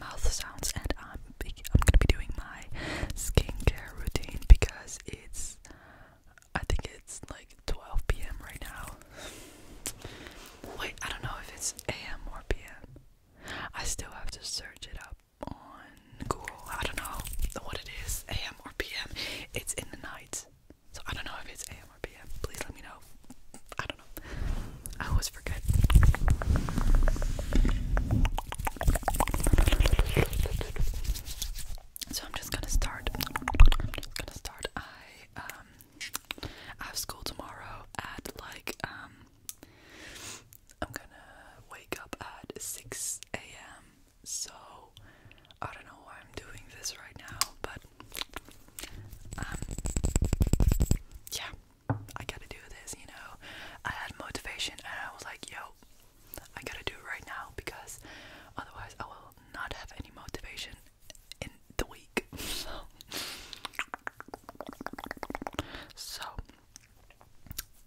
mouth sounds, and I'm I'm gonna be doing my skincare routine because it's I think it's like 12 p.m. right now. Wait, I don't know if it's a.m. or p.m. I still have to search it up on Google. I don't know what it is, a.m. or p.m. It's in the night, so I don't know if it's a.m. Please let me know. I don't know. I always forget. So I'm just gonna start. gonna start. I um I have school tomorrow at like um I'm gonna wake up at six a.m. So I don't know why I'm doing this right now, but um, yeah, I gotta do this, you know. I had motivation and I was like, yo, I gotta do it right now because otherwise I will not have any motivation in the week. So,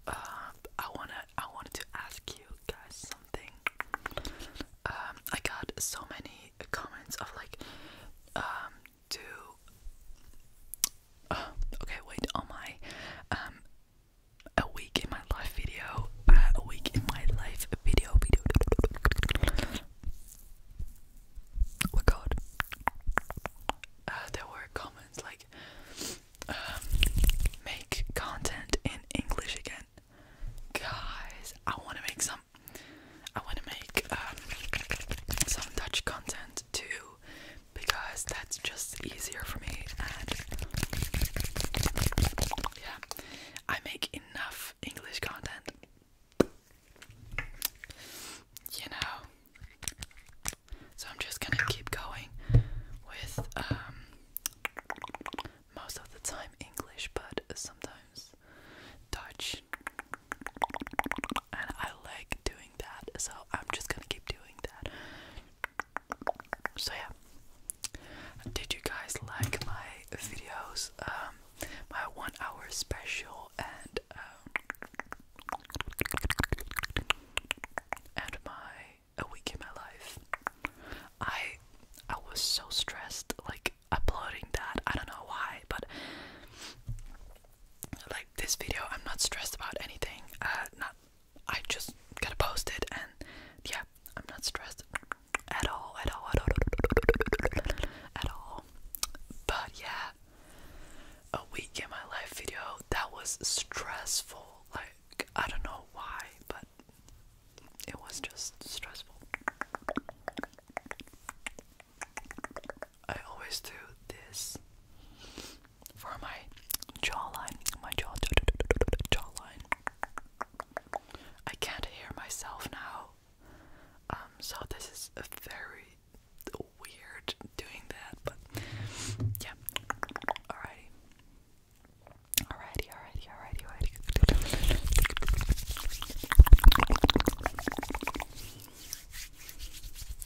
um, I wanna, I wanted to ask you guys something. Um, I got so many comments of like, to uh, okay wait on my um a week in my life video uh, a week in my life video video oh god uh, there were comments like um make content in English again guys I want to make some I want to make um, some Dutch content too because that's just easier for me and yeah, I make enough English content. You know. So I'm just gonna keep going with um, most of the time English but sometimes touch. And I like doing that, so I'm just gonna keep doing that. So, yeah. Did you guys like my videos? Um, my one hour special and um, and my a week in my life. I I was so stressed like uploading that. I don't know why, but like this video, I'm not stressed about anything. Uh, not I just gotta post it, and yeah, I'm not stressed at all, at all, at all, at all. But yeah, a week in my life video that was stressful. Like I don't know why, but it was just stressful. I always do this for my jawline, my jaw jawline. I can't hear myself now. Um so this is a very weird doing that, but yeah. Alrighty. Alrighty, alrighty, alrighty, alrighty,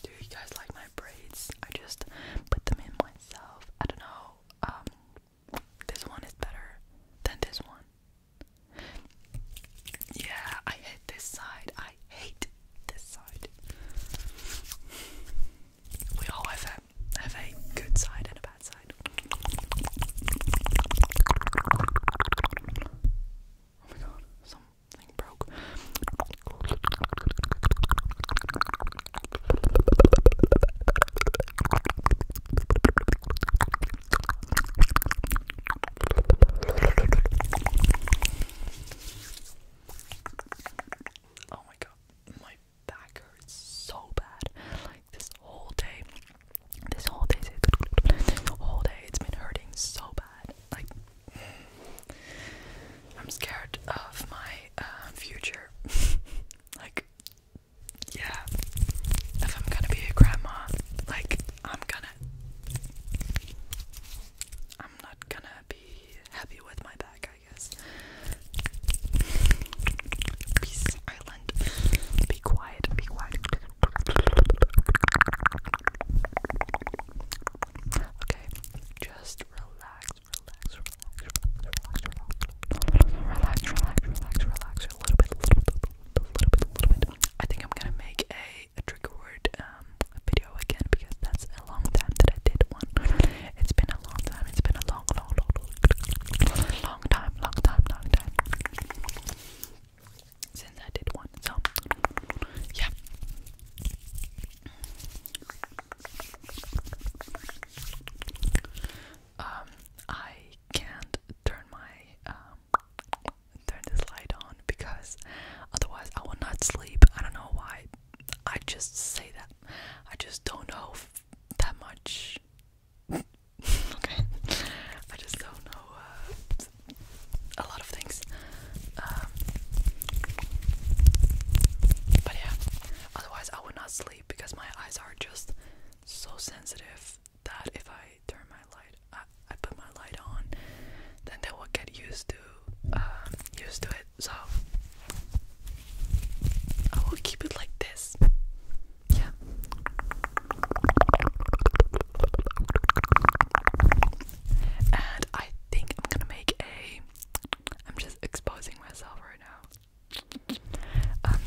do you guys like my braids? I just put them in myself. I don't know. Um, this one is better than this one. Yeah, I hate this side. I hate this side. We all have have a good side and a bad side. Oh my god, something broke. Oh my god, my back hurts so bad. Like this whole day, this whole day, whole day, it's been hurting so bad. Like, I'm scared of my uh, future. like, yeah, if I'm gonna be a grandma, like, I'm gonna, I'm not gonna be happy with my back, I guess. Peace, island. Be quiet, be quiet. Okay, just relax, relax, relax, relax, relax, relax, relax, relax, a little bit, little bit, little bit, little bit. I think I'm gonna make a, a trigger word um video again because that's a long time that I did one. It's been a long time. It's been a long, long, long, long, long time, long time, long time since I did one. So, yeah. Um, I can't turn my um turn this light on because otherwise I will not sleep. I don't know why. I just say that. I just don't know that much okay. I just don't know uh, a lot of things. Um, but yeah, otherwise I would not sleep because my eyes are just so sensitive that if I turn my light, I, put my light on, then they will get used to um, used to it. So I will keep it like this. Yeah. And I think I'm gonna make a. I'm just exposing myself right now. Um,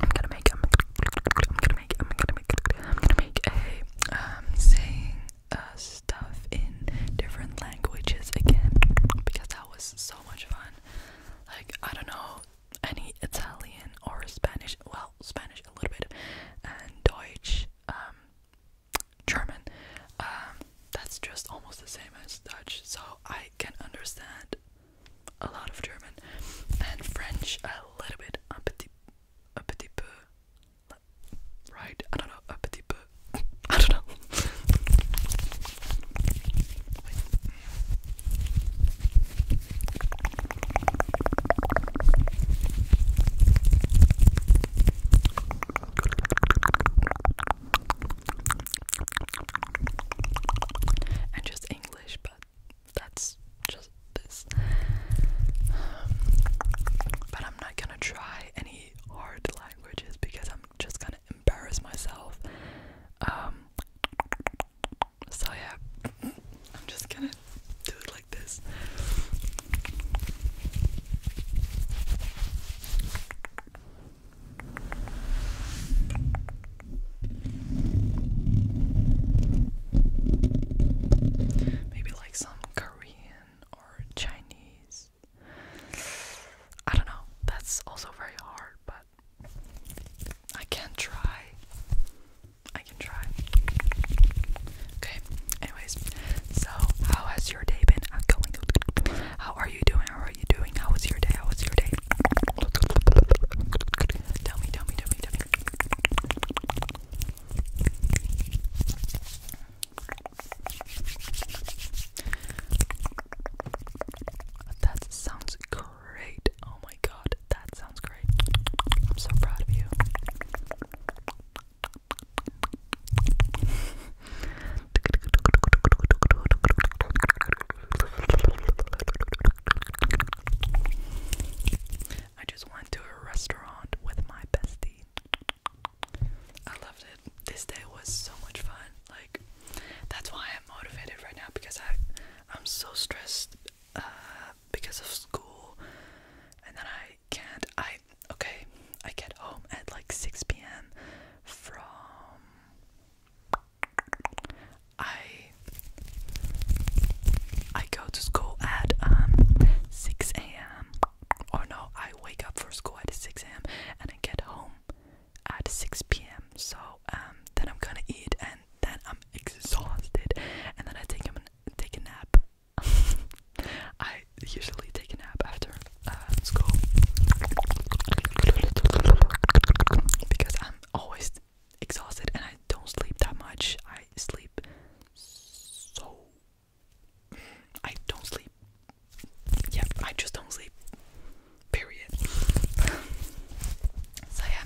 I'm gonna make. I'm, I'm gonna make. I'm gonna make. I'm gonna make a. Um, saying uh, stuff in different languages again because that was so much fun. Like I don't know, any Italian or Spanish, well, Spanish a little bit, and Deutsch, um, German. Um, that's just almost the same as Dutch, so I can understand a lot of German and French a little bit, a petit, a petit right? I don't know, a petit I don't know. and just English, but that's just this. but I'm not gonna try any hard languages because I'm just gonna embarrass myself. Um, so yeah, I'm just gonna do it like this. Maybe like some Korean or Chinese. I don't know. That's also very hard, but I can try. I can try. Okay. Anyways, so how has your day been? going. How are you doing? How are you doing? How was your day? How was your day? tell me, tell me, tell me. That sounds good great. Oh my god, that sounds great. I'm so proud of you. I just went to a restaurant with my bestie. I loved it. This day was so much fun. Like that's why I'm motivated right now because I I'm so stressed uh, because of school, and then I can't. I okay. I get home at like six p.m. from. I I go to school at um 6 a.m. or oh, no, I wake up for school at 6 a.m. and I get home at 6 p.m. So um then I'm gonna eat and then I'm exhausted, and then I take him take a nap. I usually take a nap after uh, school because I'm always exhausted and I don't sleep that much. I sleep so I don't sleep. Yep, I just don't sleep. Period. so yeah,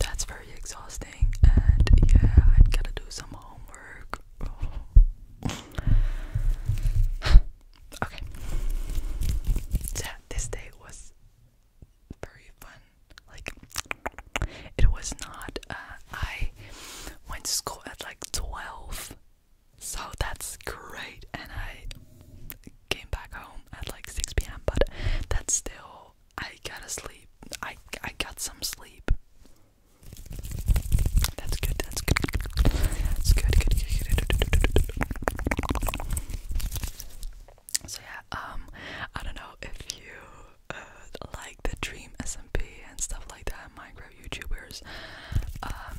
that's very exhausting, and yeah, I gotta do some homework. okay, yeah, this day was very fun. Like, it was not. Uh, I went to school at like twelve. So that's great, and I came back home at like 6 p.m. But that's still, I gotta sleep. I I got some sleep. That's good. That's good. That's good. Good. Good. good. So yeah, um, I don't know if you like the Dream SMP and stuff like that, Minecraft YouTubers. Um,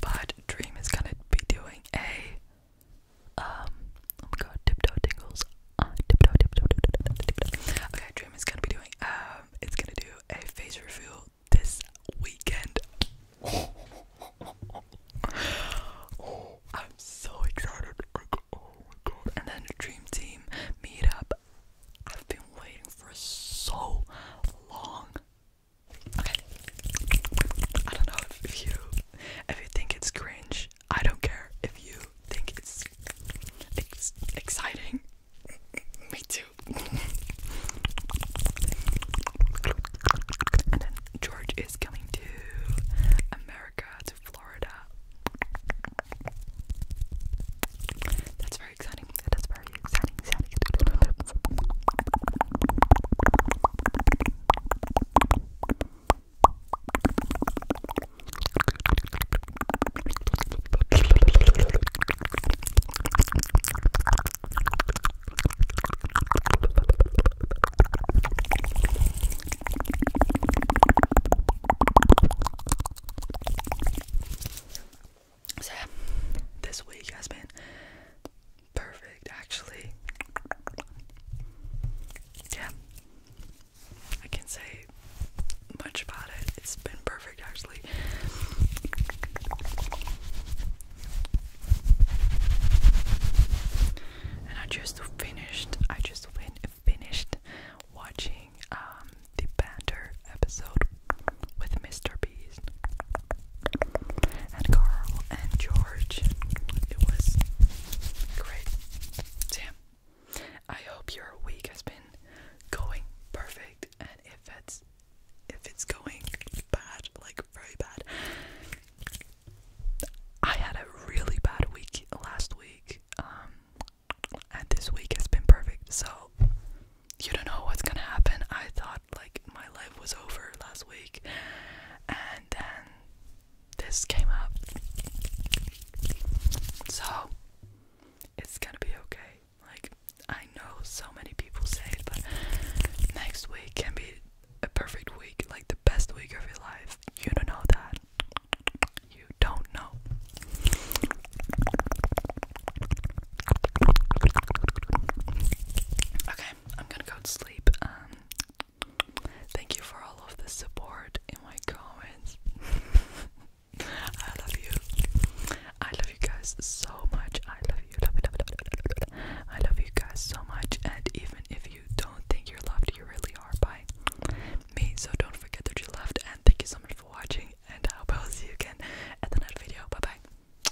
but Dream is gonna be doing a um, oh my god, tiptoe tingles. Uh, tiptoe, tiptoe, tiptoe, tiptoe, tiptoe. Okay, Dream is gonna be doing, um, it's gonna do a face reveal this weekend. oh, I'm so excited. Oh my god. Oh and then Dream Team meetup. I've been waiting for so long. Okay. I don't know if you if you think it's cringe. I don't care if you think it's ex exciting. Me too. and then George is coming to America, to Florida. That's very exciting. That's very exciting. So yeah, this week has been Perfect, actually. Yeah. I can say much about it. It's been perfect, actually. And I just finished. I just fin finished watching um, the banter episode with Mr. Beast and Carl and George. It was great. Damn. I hope your week has been going perfect and if it's if it's going bad, like very bad. I had a really bad week last week. Um, and this week has been perfect. So you don't know what's going to happen. I thought like my life was over last week, and then this came up. So it's gonna be okay. Like, I know so many people say it, but next week can be a perfect week, like the best week of your life. You don't know that. You don't know. Okay, I'm gonna go to sleep. Um, thank you for all of the support in my comments. I love you. I love you guys so much. I love you. Love, love, love, love, love. I love you guys so much. And even if you don't think you're loved, you really are by me. So don't forget that you're loved. And thank you so much for watching. And I hope I'll see you again at the next video. Bye bye.